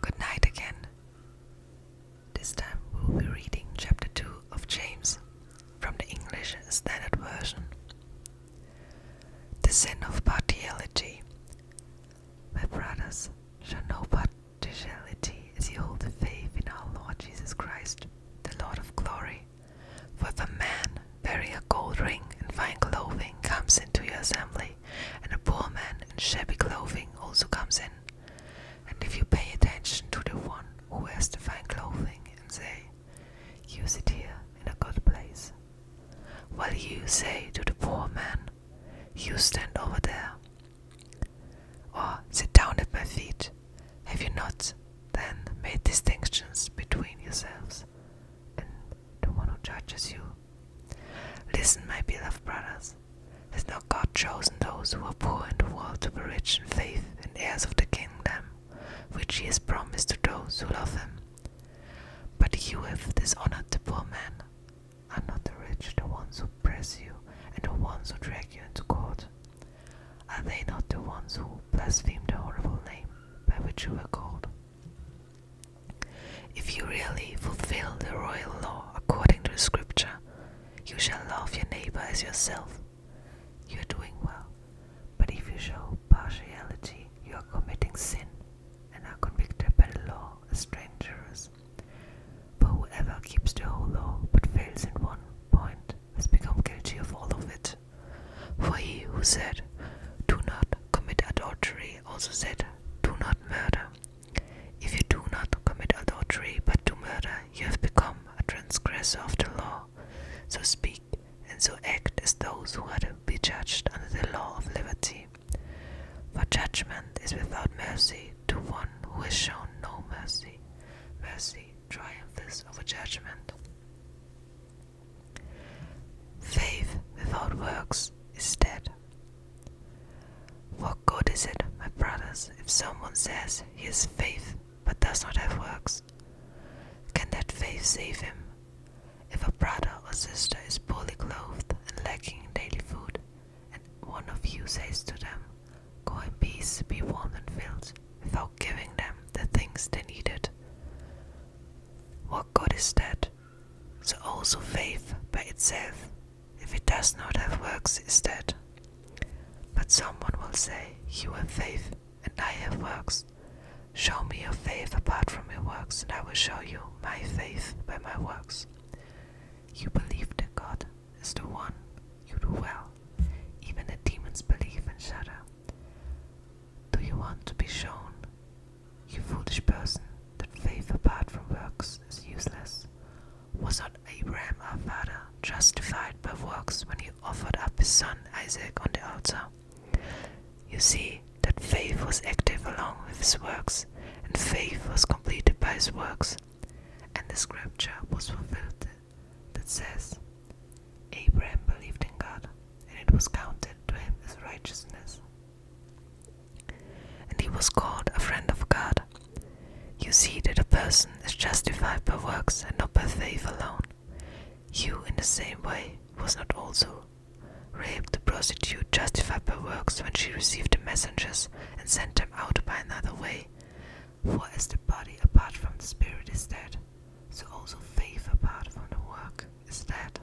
Good night again. This time we will be reading Chapter 2 of James from the English Standard Version. The sin of partiality. My brothers, show no partiality as you hold the faith in our Lord Jesus Christ, the Lord of glory. For the man Bury a gold ring in fine clothing comes into your assembly, and a poor man in shabby clothing also comes in. And if you pay attention to the one who wears the fine clothing and say, Use it here in a good place, while you say to the poor man, You stand over there, or sit down at my feet, have you not then made distinctions between yourselves and the one who judges you? Listen, my beloved brothers, has not God chosen those who are poor in the world to be rich in faith and heirs of the kingdom, which He has promised to those who love Him? But you have dishonored the poor man. Are not the rich the ones who press you and the ones who drag you into court are they not the ones who blasphemed the horrible name by which you were called? If you really fulfill the royal law according to scripture, you shall love your neighbor as yourself. You are doing well, but if you show partiality, you are committing sin and are convicted by the law as strangers points. whoever keeps the whole law but fails in one point has become guilty of all of it. For he who said, Do not commit adultery, also said, Do not murder. If you do not commit adultery but do murder, you have become a transgressor of the law. So speak and so act as those who are to be judged under the law of liberty. For judgment is without mercy to one who has shown no mercy. Mercy triumphs over judgment. Faith without works is dead. What good is it, my brothers, if someone says he has faith but does not have works? Can that faith save him? If a brother or sister is poorly clothed and lacking in daily food, and one of you says to them, Go in peace, be warm and filled, without giving them the things they needed, what good is that? So also faith by itself, if it does not have works, is dead. But someone will say, You have faith, and I have works. Show me your faith apart from your works, and I will show you my faith by my works. You believe that God is the one, you do well. Even the demons believe and shudder. Do you want to be shown, you foolish person, that faith apart from works is useless? Was not Abraham our father justified by works when he offered up his son Isaac on the altar. You see that faith was active along with his works, and faith was completed by his works. And the scripture was fulfilled that says, Abraham believed in God, and it was counted to him as righteousness. And he was called a friend of God. You see that a person is justified by works and not by faith alone. You, in the same way, was not also Rape the prostitute justified by works when she received the messengers and sent them out by another way. For as the body apart from the spirit is dead, so also faith apart from the work is dead.